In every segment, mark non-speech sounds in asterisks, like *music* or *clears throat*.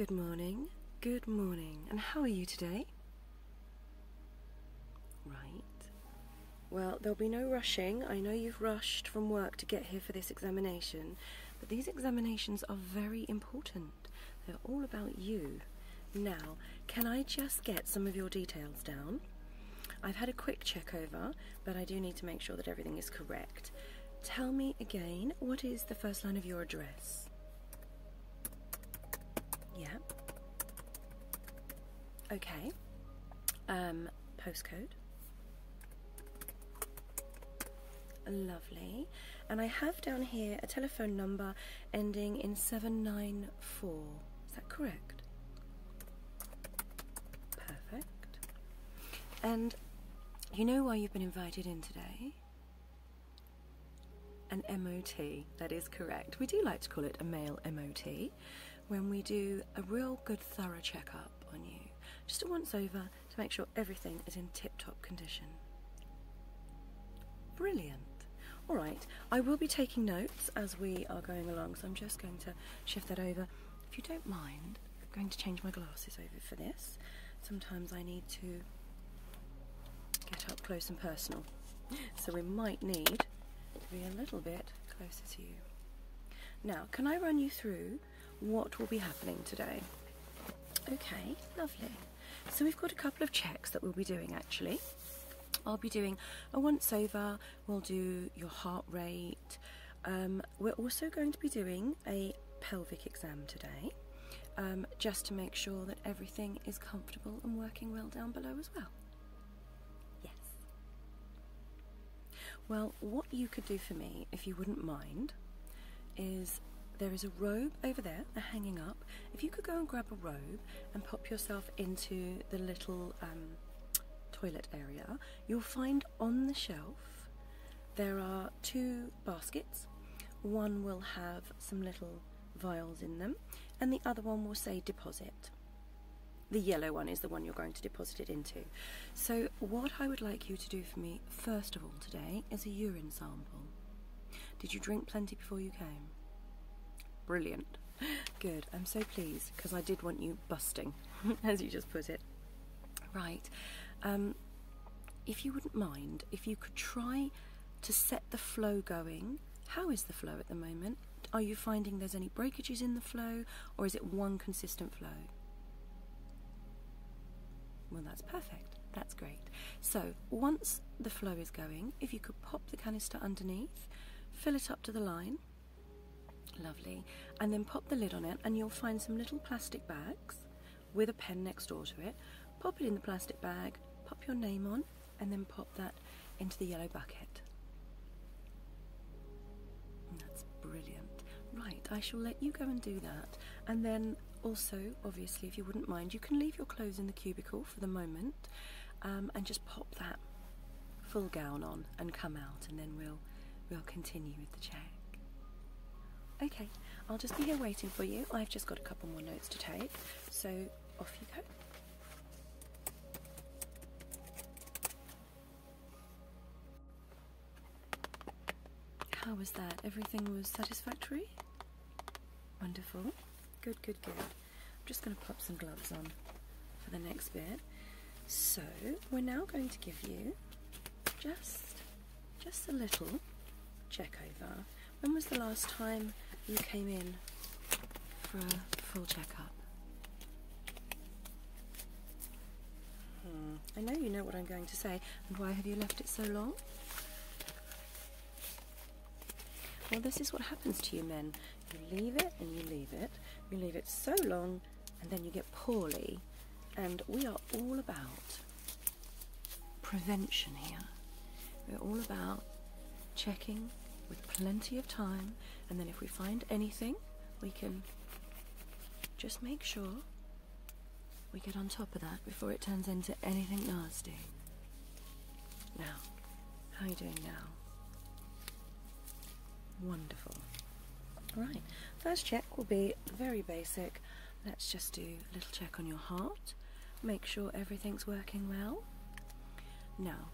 Good morning, good morning, and how are you today? Right. Well, there'll be no rushing. I know you've rushed from work to get here for this examination, but these examinations are very important. They're all about you. Now, can I just get some of your details down? I've had a quick check over, but I do need to make sure that everything is correct. Tell me again, what is the first line of your address? Yeah. Okay. Um, postcode. Lovely. And I have down here a telephone number ending in 794. Is that correct? Perfect. And you know why you've been invited in today? An MOT, that is correct. We do like to call it a male MOT when we do a real good thorough checkup on you, just a once over to make sure everything is in tip top condition. Brilliant. All right, I will be taking notes as we are going along, so I'm just going to shift that over. If you don't mind, I'm going to change my glasses over for this. Sometimes I need to get up close and personal. So we might need to be a little bit closer to you. Now, can I run you through what will be happening today? Okay, lovely. So we've got a couple of checks that we'll be doing actually. I'll be doing a once over, we'll do your heart rate, um, we're also going to be doing a pelvic exam today um, just to make sure that everything is comfortable and working well down below as well. Yes. Well, what you could do for me, if you wouldn't mind, is there is a robe over there hanging up. If you could go and grab a robe and pop yourself into the little um, toilet area You'll find on the shelf there are two baskets. One will have some little vials in them, and the other one will say deposit. The yellow one is the one you're going to deposit it into. So, what I would like you to do for me, first of all, today is a urine sample. Did you drink plenty before you came? Brilliant. *gasps* Good. I'm so pleased because I did want you busting, *laughs* as you just put it. Right. Um, if you wouldn't mind, if you could try to set the flow going. How is the flow at the moment? Are you finding there's any breakages in the flow or is it one consistent flow? Well, that's perfect. That's great. So, once the flow is going, if you could pop the canister underneath, fill it up to the line. Lovely. And then pop the lid on it, and you'll find some little plastic bags with a pen next door to it. Pop it in the plastic bag, pop your name on, and then pop that into the yellow bucket. That's brilliant. Right, I shall let you go and do that. And then also, obviously, if you wouldn't mind, you can leave your clothes in the cubicle for the moment um, and just pop that full gown on and come out and then we'll we'll continue with the check. Okay, I'll just be here waiting for you. I've just got a couple more notes to take, so off you go. How was that? Everything was satisfactory? Wonderful. Good, good, good. I'm just going to pop some gloves on for the next bit. So we're now going to give you just just a little check over. When was the last time you came in for a full checkup? Hmm. I know you know what I'm going to say, and why have you left it so long? Well, this is what happens to you men. You leave it and you leave it. You leave it so long and then you get poorly. And we are all about prevention here. We're all about checking with plenty of time, and then if we find anything, we can just make sure we get on top of that before it turns into anything nasty. Now, how are you doing now? Wonderful. Right, first check will be very basic. Let's just do a little check on your heart, make sure everything's working well. Now,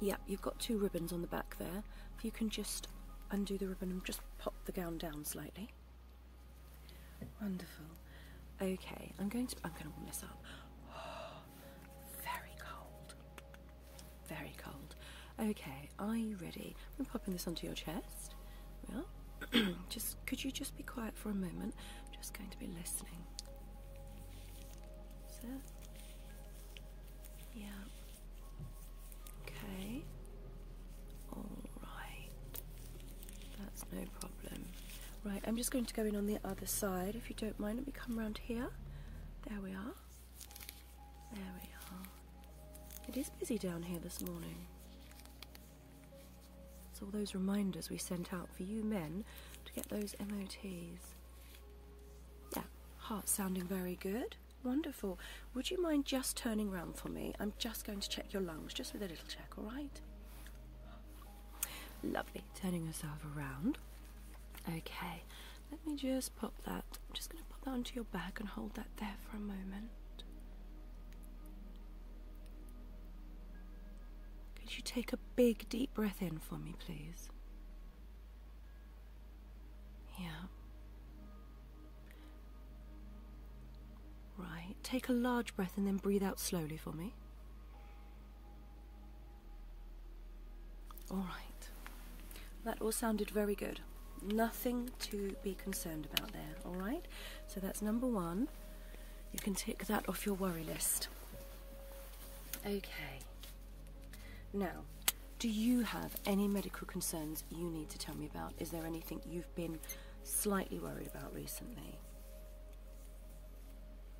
yeah, you've got two ribbons on the back there. If you can just undo the ribbon and just pop the gown down slightly. Wonderful. Okay, I'm going to. I'm going to warm up very cold. Very cold. Okay, are you ready? I'm popping this onto your chest. Well, *clears throat* just could you just be quiet for a moment? I'm just going to be listening. So, yeah. Okay. All right. That's no problem. Right, I'm just going to go in on the other side. If you don't mind, let me come around here. There we are. There we are. It is busy down here this morning. It's all those reminders we sent out for you men to get those MOTs. Yeah, heart sounding very good. Wonderful. Would you mind just turning round for me? I'm just going to check your lungs, just with a little check, all right? Lovely turning herself around. Okay, let me just pop that. I'm just going to pop that onto your back and hold that there for a moment. Could you take a big deep breath in for me, please? Yeah. Right. Take a large breath and then breathe out slowly for me. All right. That all sounded very good. Nothing to be concerned about there, all right? So that's number one. You can tick that off your worry list. Okay. Now, do you have any medical concerns you need to tell me about? Is there anything you've been slightly worried about recently?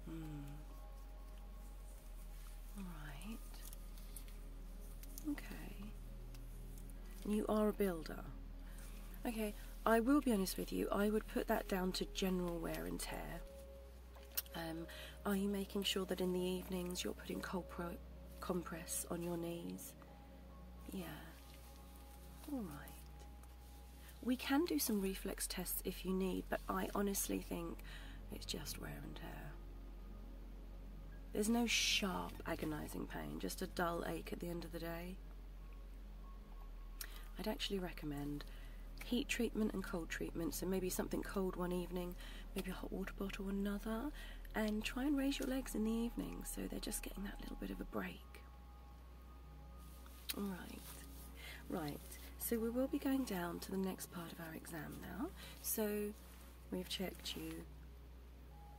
Hmm. Alright. Okay. you are a builder. Okay, I will be honest with you, I would put that down to general wear and tear. Um, are you making sure that in the evenings you're putting cold compress on your knees? Yeah. Alright. We can do some reflex tests if you need, I honestly think it's just wear and tear. There's no sharp, agonising pain, just a dull ache at the end of the day. I'd actually recommend heat treatment and cold treatments, and maybe something cold one evening, maybe a hot water bottle another, and try and raise your legs in the evening so they're just getting that little bit of a break. Alright, right, so we will be going down to the next part of our exam now. So we've checked you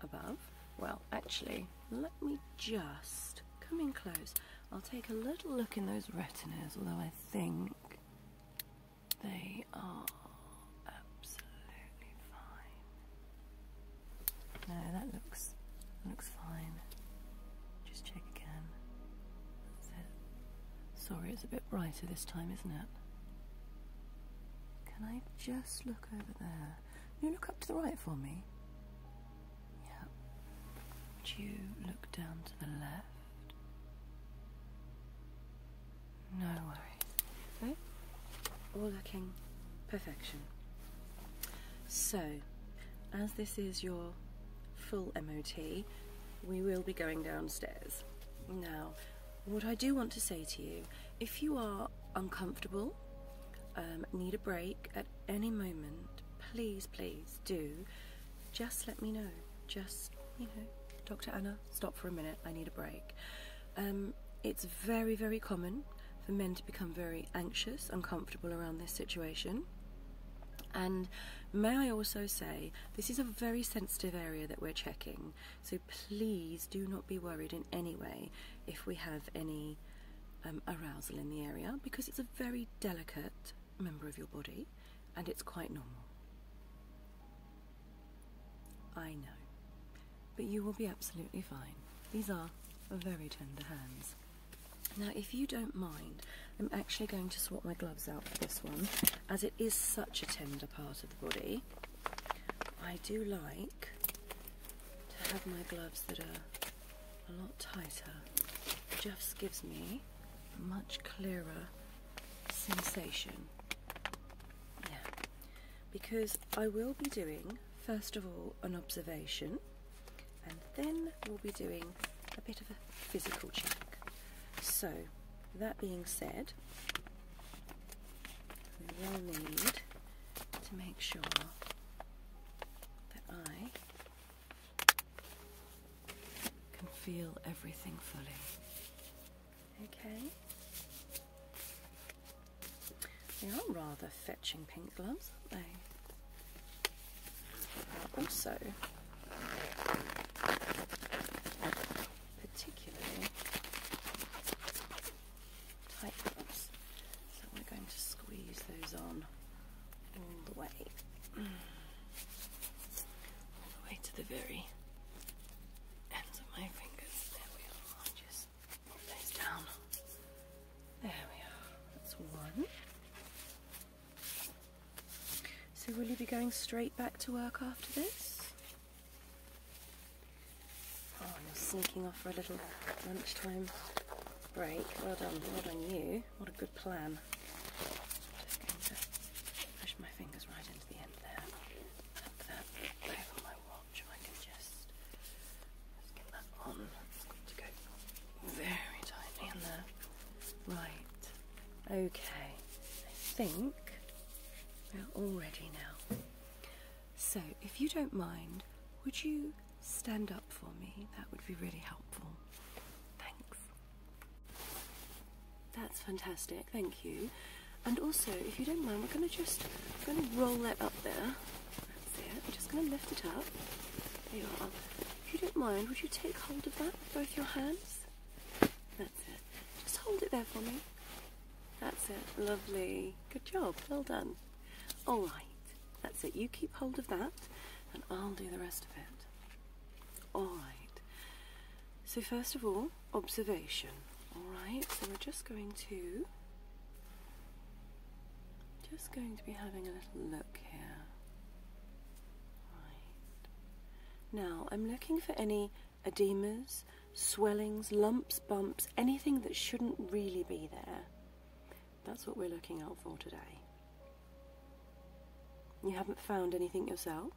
above. Well, actually, let me just come in close. I'll take a little look in those retinas, although I think they are absolutely fine. No, that looks looks fine. Just check again. Sorry, it's a bit brighter this time, isn't it? Can I just look over there? Can you look up to the right for me? Yeah. Would you look down to the left? No worries. Okay. All looking perfection. So, as this is your full MOT, we will be going downstairs. Now, what I do want to say to you, if you are uncomfortable, um, need a break at any moment, please, please do, just let me know. Just, you know, Dr. Anna, stop for a minute, I need a break. Um, it's very, very common for men to become very anxious, uncomfortable around this situation. And may I also say, this is a very sensitive area that we're checking, so please do not be worried in any way if we have any um, arousal in the area because it's a very delicate member of your body and it's quite normal. I know, but you will be absolutely fine. These are very tender hands. Now, if you don't mind, I'm actually going to swap my gloves out for this one, as it is such a tender part of the body. I do like to have my gloves that are a lot tighter. It just gives me much clearer sensation. Yeah, because I will be doing, first of all, an observation and then we'll be doing a bit of a physical check. So, that being said, we will need to make sure that I can feel everything fully. Okay. They are rather fetching pink gloves, aren't they? Also, particularly tight ones. So we're going to squeeze those on all the way. All the way to the very ends of my fingers. There we are. I'll those down. There we are. That's one. So, will you be going straight back to work after this? Oh, you're sneaking off for a little lunchtime break. Well done, well done you. What a good plan. just going to push my fingers right into the end there. Put that my watch. I can just, get that on. to go very tightly in there. Right, okay, I think we're all ready now. So, if you don't mind, would you stand up for me? That would be really helpful. Thanks. That's fantastic, thank you. And also, if you don't mind, we're going to just we're going to roll that up there. That's I'm just going to lift it up. There you are. If you don't mind, would you take hold of that with both your hands? That's it. Just hold it there for me. That's it. Lovely. Good job. Well done. All right. That's it. You keep hold of that, and I'll do the rest of it. All right. So first of all, observation. All right. So we're just going to just going to be having a little look here. Now I'm looking for any edemas, swellings, lumps, bumps, anything that shouldn't really be there. That's what we're looking out for today. You haven't found anything yourself?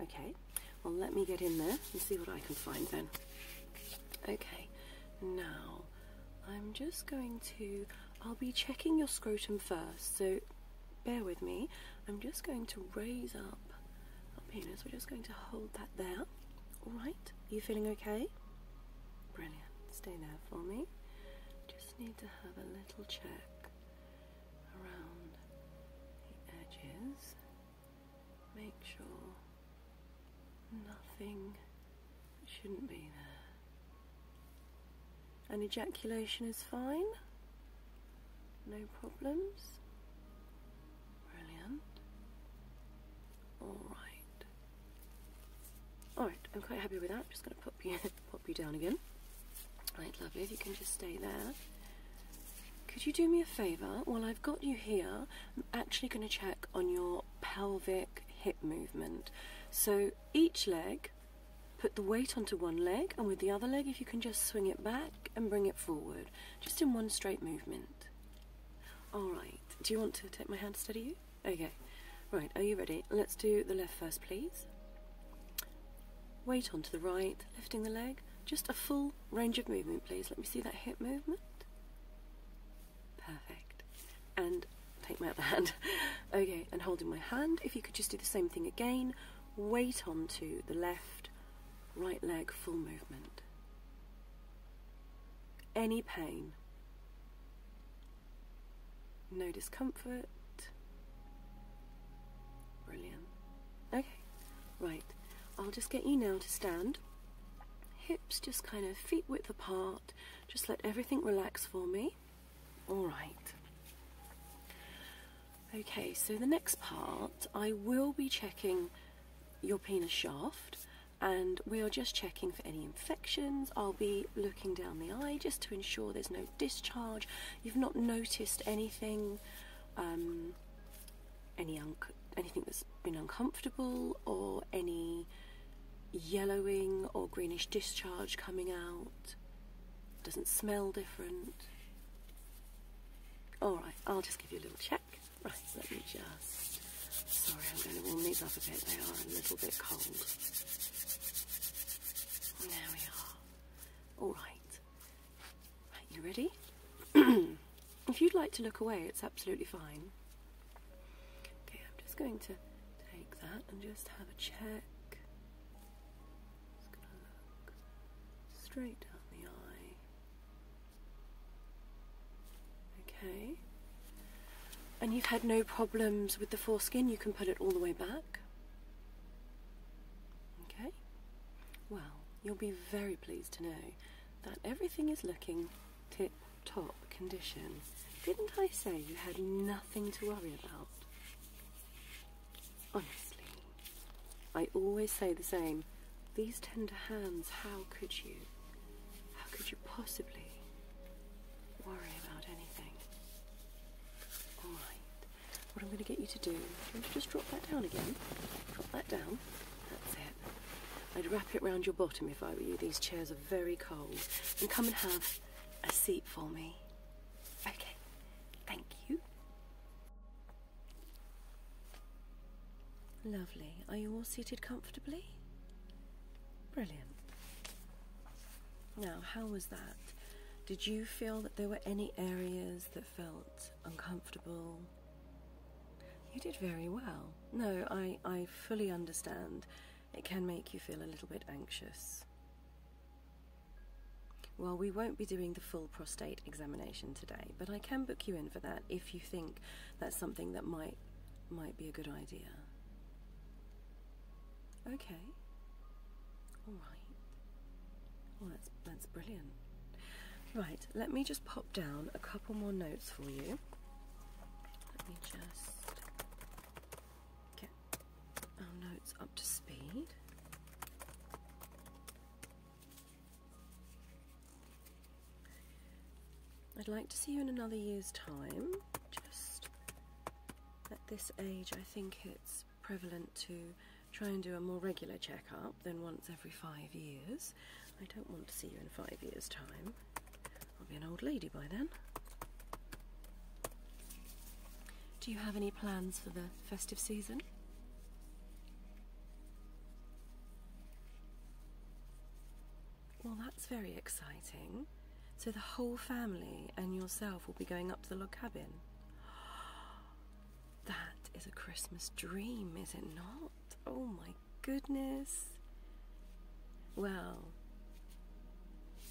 Okay, well, let me get in there and see what I can find then. Okay, now I'm just going to, I'll be checking your scrotum first, so bear with me. I'm just going to raise up our penis, we're just going to hold that there. Alright, you feeling okay? Brilliant, stay there for me. Just need to have a little check around the edges. Make sure nothing it shouldn't be there. An ejaculation is fine. No problems. Brilliant. Alright. Alright, I'm quite happy with that. I'm just gonna pop you *laughs* pop you down again. Right, lovely, if you can just stay there. Could you do me a favour? While I've got you here, I'm actually going to check on your pelvic hip movement. So each leg, put the weight onto one leg, and with the other leg, if you can just swing it back and bring it forward, just in one straight movement. All right, do you want to take my hand to steady you? Okay, right, are you ready? Let's do the left first, please. Weight onto the right, lifting the leg. Just a full range of movement, please. Let me see that hip movement. Perfect. And take my other hand. *laughs* Okay, and holding my hand, if you could just do the same thing again, weight onto the left, right leg, full movement. Any pain. No discomfort. Brilliant. Okay, right. I'll just get you now to stand. Hips just kind of feet width apart just let everything relax for me. All right. Okay, so the next part, I will be checking your penis shaft and we are just checking for any infections. I'll be looking down the eye just to ensure there's no discharge. You've not noticed anything, um, any anything that's been uncomfortable or any yellowing or greenish discharge coming out. Doesn't smell different. Alright, I'll just give you a little check. Right, let me just... Sorry, I'm going to warm these up a bit. They are a little bit cold. There we are. Alright. you ready? *clears throat* if you'd like to look away, it's absolutely fine. Okay, I'm just going to take that and just have a check. straight down the eye. Okay. And you've had no problems with the foreskin, you can put it all the way back. Okay. Well, you'll be very pleased to know that everything is looking tip top condition. Didn't I say you had nothing to worry about? Honestly, I always say the same. These tender hands, how could you? How could you possibly worry about anything? Alright, what I'm going to get you to do, do you want to just drop that down again? Drop that down. That's it. I'd wrap it round your bottom if I were you. These chairs are very cold. And come and have a seat for me. Okay, thank you. Lovely. Are you all seated comfortably? Brilliant. Now, how was that? Did you feel that there were any areas that felt uncomfortable? You did very well. No, I, I fully understand. It can make you feel a little bit anxious. Well, we won't be doing the full prostate examination today, but I can book you in for that if you think that's something that might might be a good idea. Okay. All right. Well, that's that's brilliant. Right, let me just pop down a couple more notes for you. Let me just get our notes up to speed. I'd like to see you in another year's time. Just at this age, I think it's prevalent to try and do a more regular checkup than once every five years. I don't want to see you in five years' time. I'll be an old lady by then. Do you have any plans for the festive season? Well, that's very exciting. So the whole family and yourself will be going up to the log cabin. *gasps* That is a Christmas dream, is it not? Oh my goodness. Well,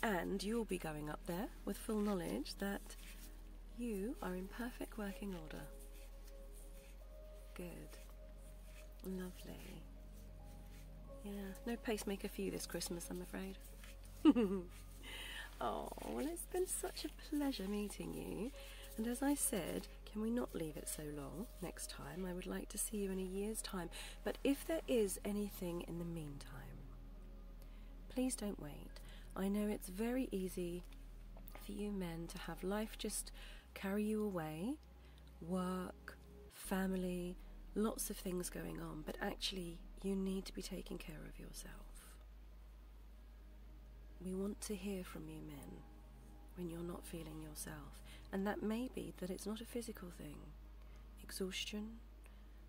and you'll be going up there with full knowledge that you are in perfect working order. Good. Lovely. Yeah, no pacemaker for you this Christmas, I'm afraid. *laughs* oh, well, it's been such a pleasure meeting you. And as I said, can we not leave it so long next time? I would like to see you in a year's time. But if there is anything in the meantime, please don't wait. I know it's very easy for you men to have life just carry you away work, family, lots of things going on, but actually, you need to be taking care of yourself. We want to hear from you, men when you're not feeling yourself. And that may be that it's not a physical thing. Exhaustion,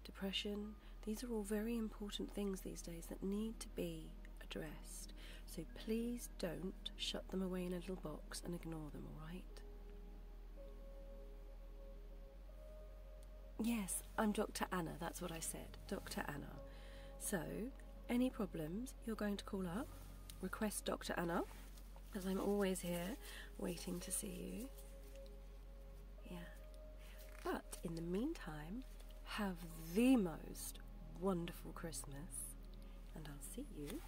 depression, these are all very important things these days that need to be addressed. So please don't shut them away in a little box and ignore them, alright? Yes, I'm Dr. Anna, that's what I said. Dr. Anna. So, any problems, you're going to call up request Dr. Anna, as I'm always here waiting to see you. Yeah. But in the meantime, have the most wonderful Christmas, and I'll see you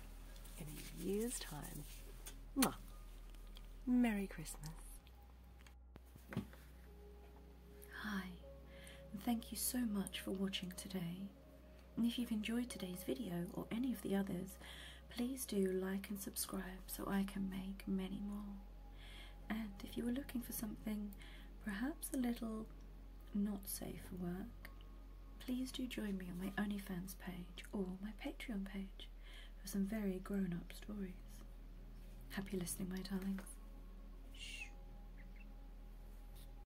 in a year's time. Mwah. Merry Christmas. Hi, thank you so much for watching today. And if you've enjoyed today's video or any of the others, please do like and subscribe so I can make many more. And if you were looking for something perhaps a little not safe for work, please do join me on my OnlyFans page or my Patreon page for some very grown up stories. Happy listening, my darlings.